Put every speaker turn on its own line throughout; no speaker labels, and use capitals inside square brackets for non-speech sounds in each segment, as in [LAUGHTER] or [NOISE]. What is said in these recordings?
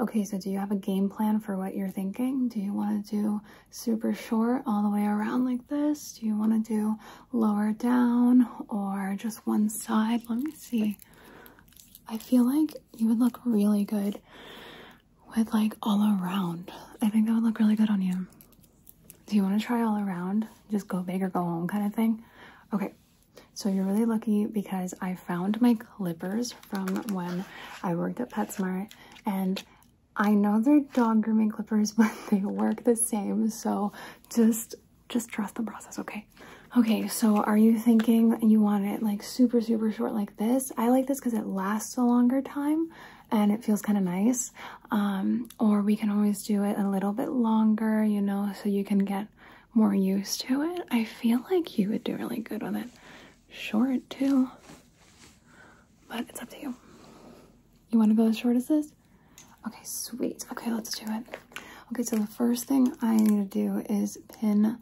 Okay, so do you have a game plan for what you're thinking? Do you want to do super short all the way around like this? Do you want to do lower down or just one side? Let me see. I feel like you would look really good with like all around. I think that would look really good on you. Do you want to try all around? Just go big or go home kind of thing? Okay, so you're really lucky because I found my clippers from when I worked at PetSmart and I know they're dog grooming clippers, [LAUGHS] but they work the same. So just, just trust the process, okay? Okay, so are you thinking you want it like super, super short like this? I like this because it lasts a longer time and it feels kind of nice. Um, or we can always do it a little bit longer, you know, so you can get more used to it, I feel like you would do really good with it short too. But it's up to you. You want to go as short as this? Okay, sweet. Okay, let's do it. Okay, so the first thing I need to do is pin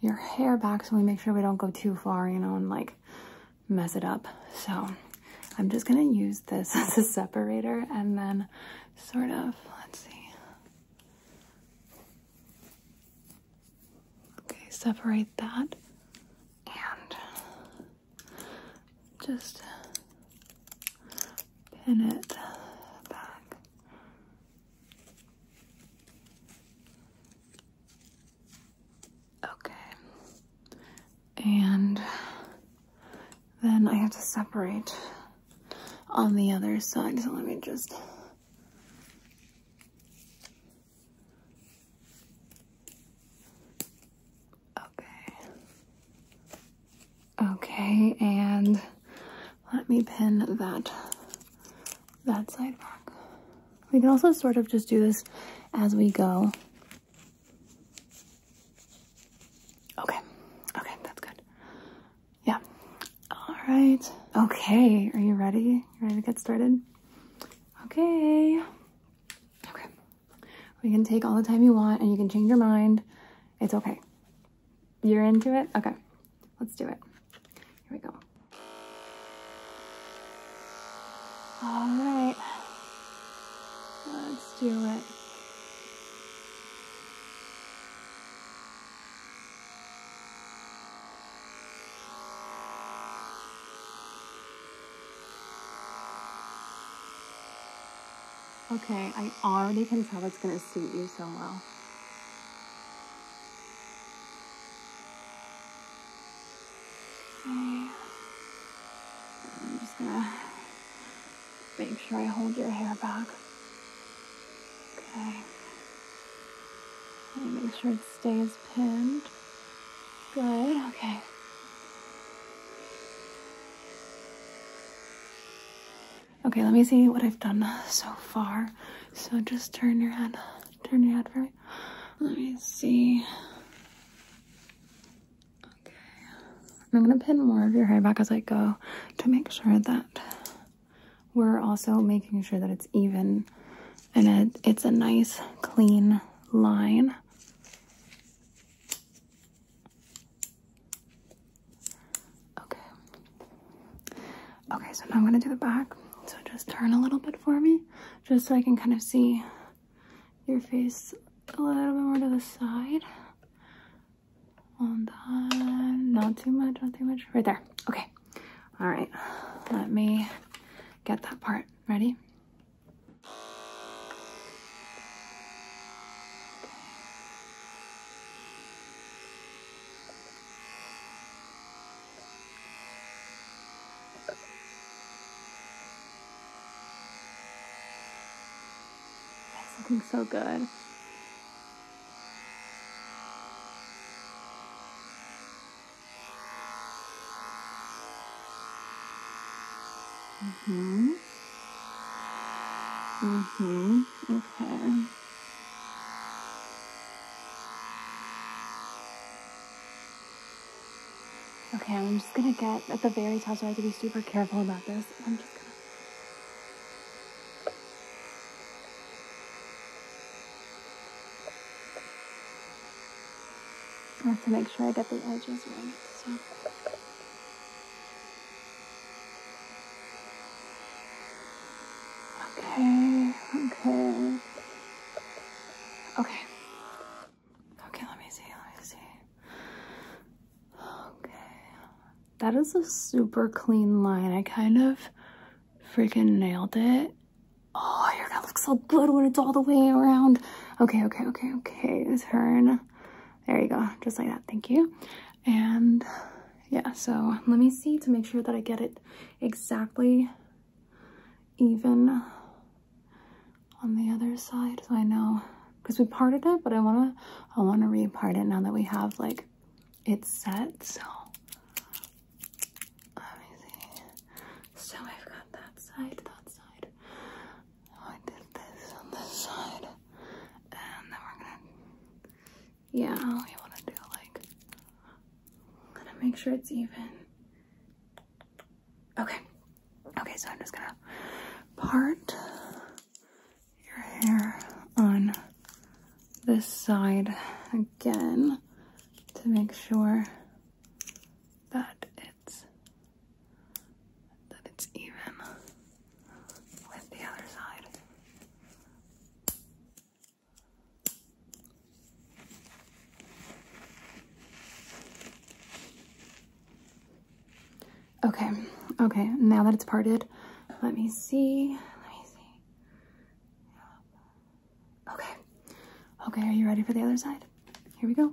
your hair back so we make sure we don't go too far, you know, and like mess it up. So I'm just going to use this [LAUGHS] as a separator and then sort of, let's see, Okay, separate that and just pin it back. Okay, and then I have to separate on the other side, so let me just Okay. Okay, and let me pin that that side back. We can also sort of just do this as we go. Okay. Okay, that's good. Yeah. All right. Okay. Are you ready? ready to get started? Okay. Okay. We can take all the time you want and you can change your mind. It's okay. You're into it? Okay. Let's do it. Here we go. All right. Let's do it. Okay, I already can tell it's going to suit you so well. Okay. I'm just going to make sure I hold your hair back. Okay. Make sure it stays pinned. Good. Okay. Okay, let me see what I've done so far. So just turn your head, turn your head for me. Let me see. Okay, I'm gonna pin more of your hair back as I go to make sure that we're also making sure that it's even and it, it's a nice clean line. Okay. Okay, so now I'm going to do the back. So just turn a little bit for me, just so I can kind of see your face a little bit more to the side not too much, not too much. Right there. Okay. All right. Let me get that part. Ready? looking so good. Mm-hmm. Mm-hmm. Okay. Okay, I'm just gonna get at the very top, so I have to be super careful about this. I'm just gonna I have to make sure I get the edges right, so. Okay, okay. Okay. Okay, let me see, let me see. Okay, that is a super clean line. I kind of freaking nailed it. Oh, you're gonna look so good when it's all the way around. Okay, okay, okay, okay. Turn. There you go. Just like that. Thank you. And yeah, so let me see to make sure that I get it exactly even on the other side so I know because we parted it but I want to I want to re-part it now that we have like it's set, so let So I've got that side, that side. Oh, I did this on this side, and then we're gonna, yeah, we want to do like, gonna make sure it's even. Okay, okay, so I'm just gonna part your hair on this side again to make sure that it's that it's even with the other side. Okay, okay, now that it's parted, let me see, let me see. Okay, okay, are you ready for the other side? Here we go.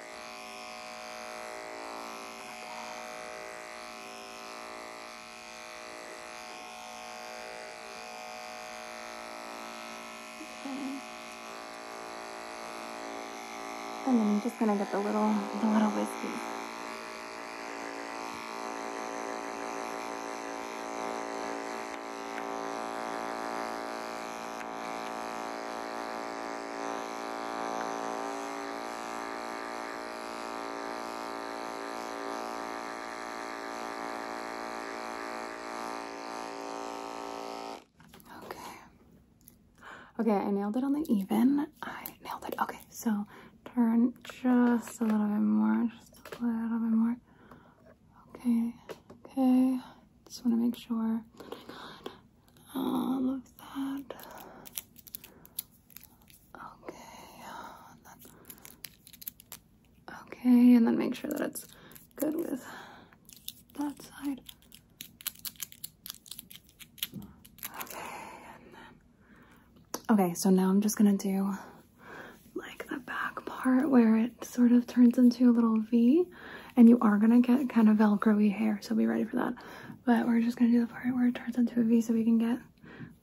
And then I'm just gonna get the little, the little whiskey. Okay. Okay, I nailed it on the even. I nailed it. Okay, so turn just a little bit more, just a little bit more. Okay, okay. Just want to make sure. Oh all of that. Okay. And then, okay, and then make sure that it's good with that side. Okay, okay, so now I'm just gonna do like the back part where it sort of turns into a little V and you are gonna get kind of velcro-y hair, so be ready for that. But we're just gonna do the part where it turns into a V so we can get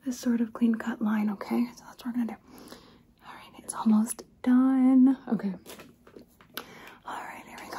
this sort of clean cut line, okay? So that's what we're gonna do. All right, it's almost done. Okay. All right, here we go.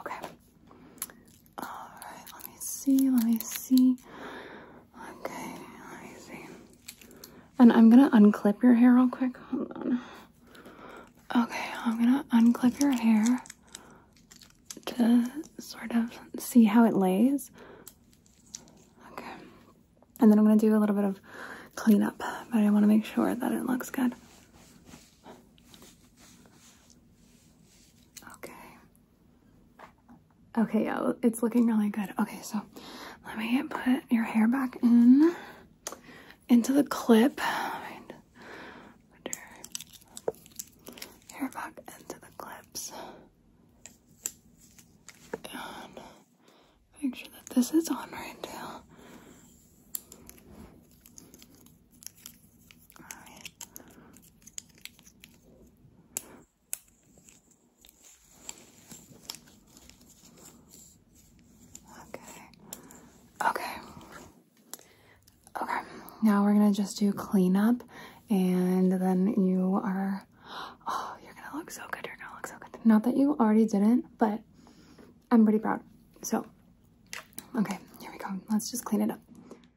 Okay. Alright, let me see, let me see. Okay, let me see. And I'm gonna unclip your hair real quick. Hold on. Okay, I'm gonna unclip your hair to sort of see how it lays. Okay. And then I'm gonna do a little bit of cleanup, but I wanna make sure that it looks good. Okay. Okay, yeah, it's looking really good. Okay, so let me put your hair back in into the clip. Hair back into the clips. make sure that this is on right now. Okay. Okay. Okay. Now we're gonna just do cleanup, and then you are. Oh, you're gonna look so good. You're gonna look so good. Not that you already didn't, but I'm pretty proud. So, okay, here we go. Let's just clean it up.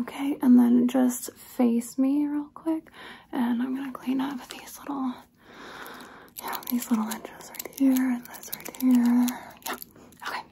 Okay, and then just face me real quick, and I'm gonna clean up these little, yeah, these little edges right here, and this right here, yeah, okay.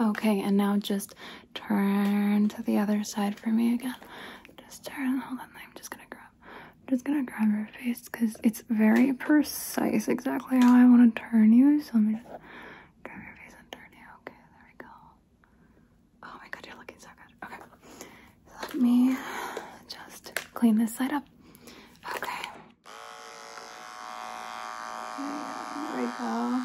Okay, and now just Turn to the other side for me again. Just turn. Hold on. I'm just gonna grab. I'm just gonna grab your face because it's very precise exactly how I want to turn you. So let me just grab your face and turn you. Okay, there we go. Oh my god, you're looking so good. Okay. let me just clean this side up. Okay. There we go.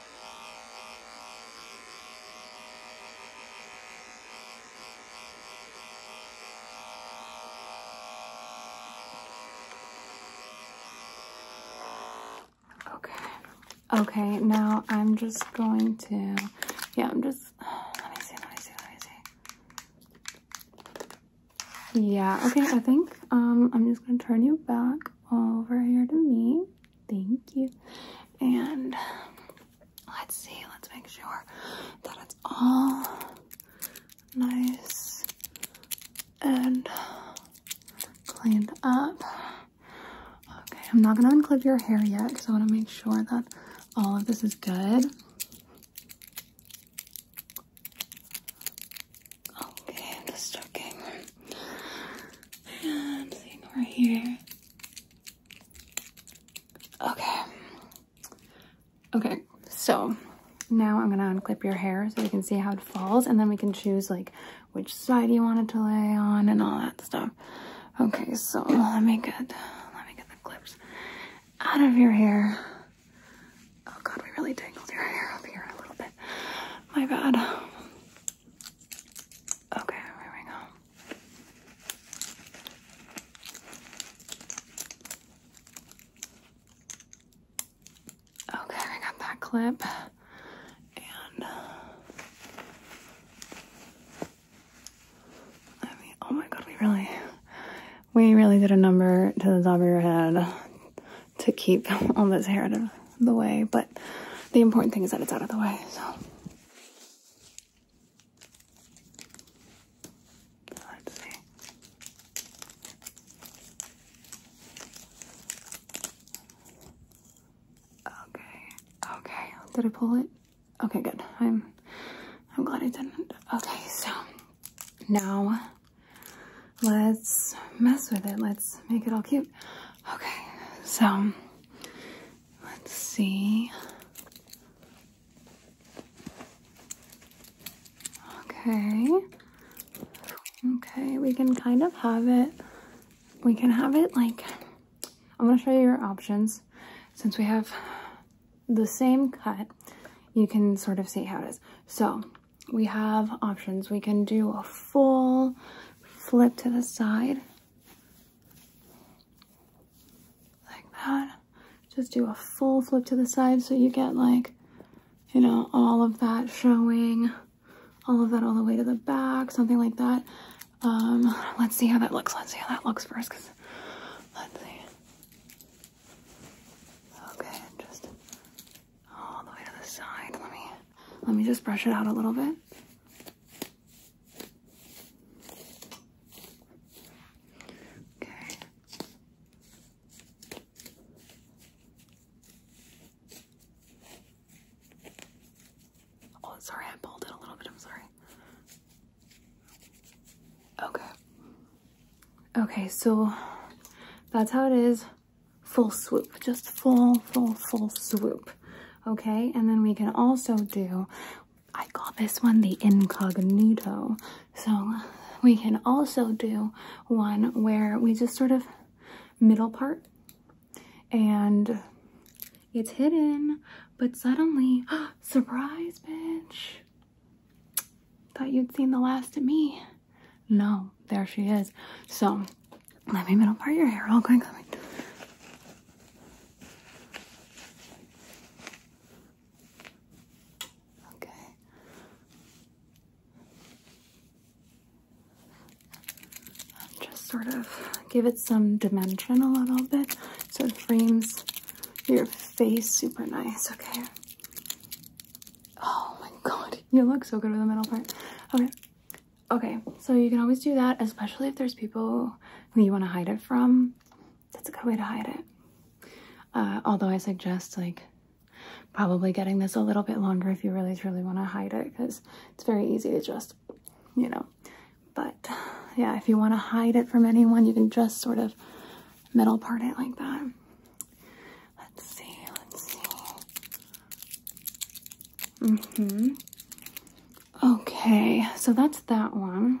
Okay. Okay, now I'm just going to, yeah, I'm just, [SIGHS] let me see, let me see, let me see. Yeah, okay, I think um, I'm just going to turn you back over here to me. Thank you. And let's see, let's make sure that it's all nice and cleaned up. Okay, I'm not gonna unclip your hair yet because I wanna make sure that all of this is good. Okay, I'm And seeing over here. Okay. Okay, so now I'm gonna unclip your hair so we can see how it falls and then we can choose like which side you wanted to lay on and all that stuff. Okay, so let me get let me get the clips out of your hair. Oh god, we really tangled your hair up here a little bit. My bad. Okay, here we go. Okay, I got that clip. And uh, oh my god, we really we really did a number to the top of your head to keep [LAUGHS] all this hair out of the way, but the important thing is that it's out of the way, so. Let's see. Okay, okay, did I pull it? Okay, good, I'm, I'm glad I didn't. Okay, so now let's mess with it. Let's make it all cute. Okay, so let's see. Okay. Okay, we can kind of have it. We can have it like, I'm gonna show you your options. Since we have the same cut, you can sort of see how it is. So we have options. We can do a full flip to the side like that. Just do a full flip to the side so you get like, you know, all of that showing, all of that all the way to the back, something like that. Um, let's see how that looks. Let's see how that looks 1st Cause let's see. Okay, just all the way to the side. Let me let me just brush it out a little bit. Okay. Oh, sorry, I pulled it a little bit. I'm sorry. Okay. Okay, so that's how it is full swoop, just full, full, full swoop. Okay, and then we can also do, I call this one the incognito. So we can also do one where we just sort of middle part and it's hidden, but suddenly, [GASPS] surprise, bitch. Thought you'd seen the last of me. No, there she is. So let me middle part your hair real quick. Okay. Just sort of give it some dimension a little bit so it frames your face super nice, okay? Oh my god, you look so good with the middle part. Okay. Okay, so you can always do that, especially if there's people who you want to hide it from. That's a good way to hide it. Uh, although I suggest like probably getting this a little bit longer if you really truly want to hide it because it's very easy to just, you know. But yeah, if you want to hide it from anyone, you can just sort of middle part it like that. Let's see, let's see. Mm-hmm. Okay, so that's that one.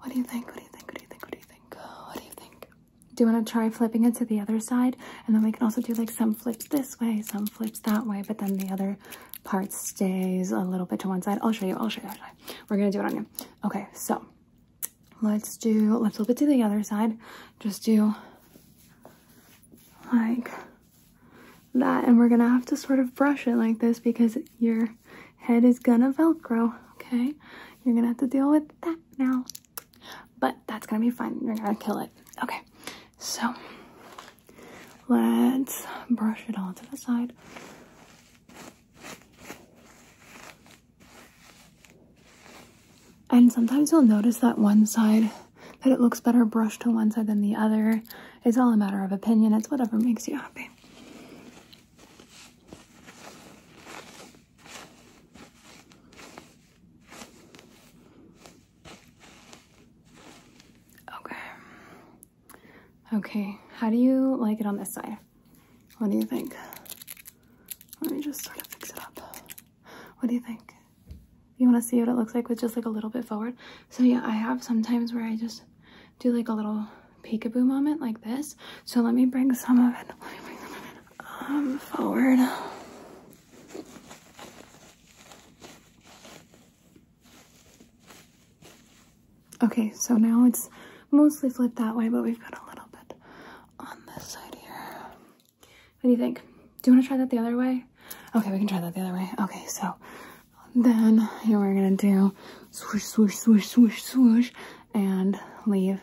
What do you think? What do you think? What do you think? What do you think? What do you think? Do you want to try flipping it to the other side? And then we can also do like some flips this way, some flips that way, but then the other part stays a little bit to one side. I'll show you. I'll show you. We're going to do it on you. Okay, so let's do, let's flip it to the other side. Just do like that. And we're gonna have to sort of brush it like this because your head is gonna Velcro, okay? You're gonna have to deal with that now. But that's gonna be fine. You're gonna kill it. Okay, so let's brush it all to the side. And sometimes you'll notice that one side, that it looks better brushed to one side than the other. It's all a matter of opinion. It's whatever makes you happy. Okay. Okay, how do you like it on this side? What do you think? Let me just sort of fix it up. What do you think? You want to see what it looks like with just like a little bit forward? So yeah, I have sometimes where I just do like a little peekaboo moment like this. So let me bring some of it, um, forward. Okay, so now it's mostly flipped that way, but we've got a little bit on this side here. What do you think? Do you want to try that the other way? Okay, we can try that the other way. Okay, so then you are gonna do swoosh, swoosh, swoosh, swoosh, swoosh, and leave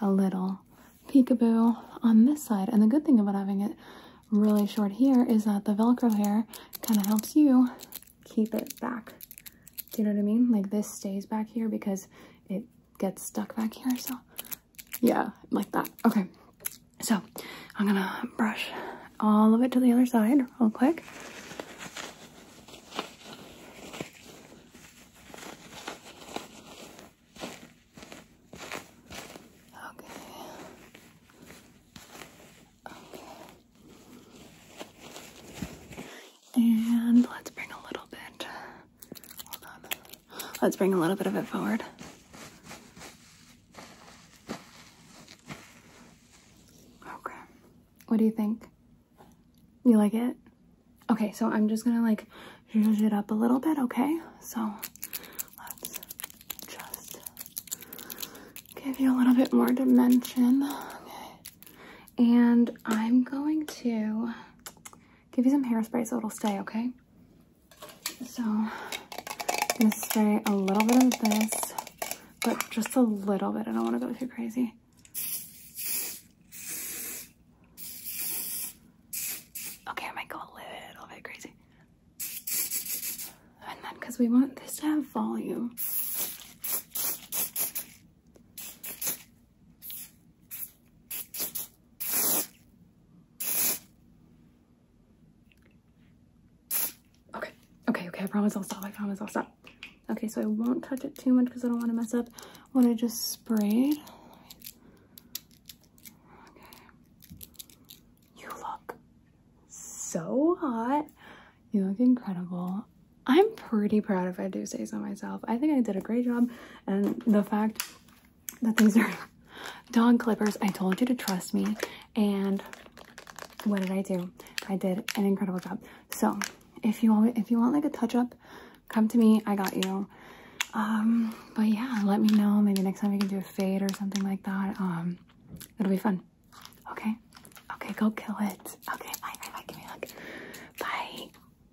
a little peekaboo on this side. And the good thing about having it really short here is that the Velcro hair kind of helps you keep it back. Do you know what I mean? Like this stays back here because it gets stuck back here. So yeah, like that. Okay, so I'm gonna brush all of it to the other side real quick. Okay. Okay. And let's bring a little bit Let's bring a little bit of it forward. Okay. What do you think? You like it? Okay, so I'm just gonna like zhuzh it up a little bit, okay? So let's just give you a little bit more dimension. And I'm going to give you some hairspray so it'll stay, okay? So I'm gonna spray a little bit of this, but just a little bit. I don't wanna go too crazy. Okay, I might go a little bit crazy. And then, cause we want this to have volume. Okay, okay, okay, I promise I'll stop, I promise I'll stop. Okay, so I won't touch it too much because I don't want to mess up what I just sprayed. You look so hot. You look incredible. I'm pretty proud if I do say so myself. I think I did a great job and the fact that these are dog clippers. I told you to trust me. And what did I do? I did an incredible job. So if you want, if you want like a touch up, come to me. I got you. Um, but yeah, let me know. Maybe next time we can do a fade or something like that. Um, it'll be fun. Okay. Okay. Go kill it. Okay. Bye. Bye. Bye. Give me a hug. Bye.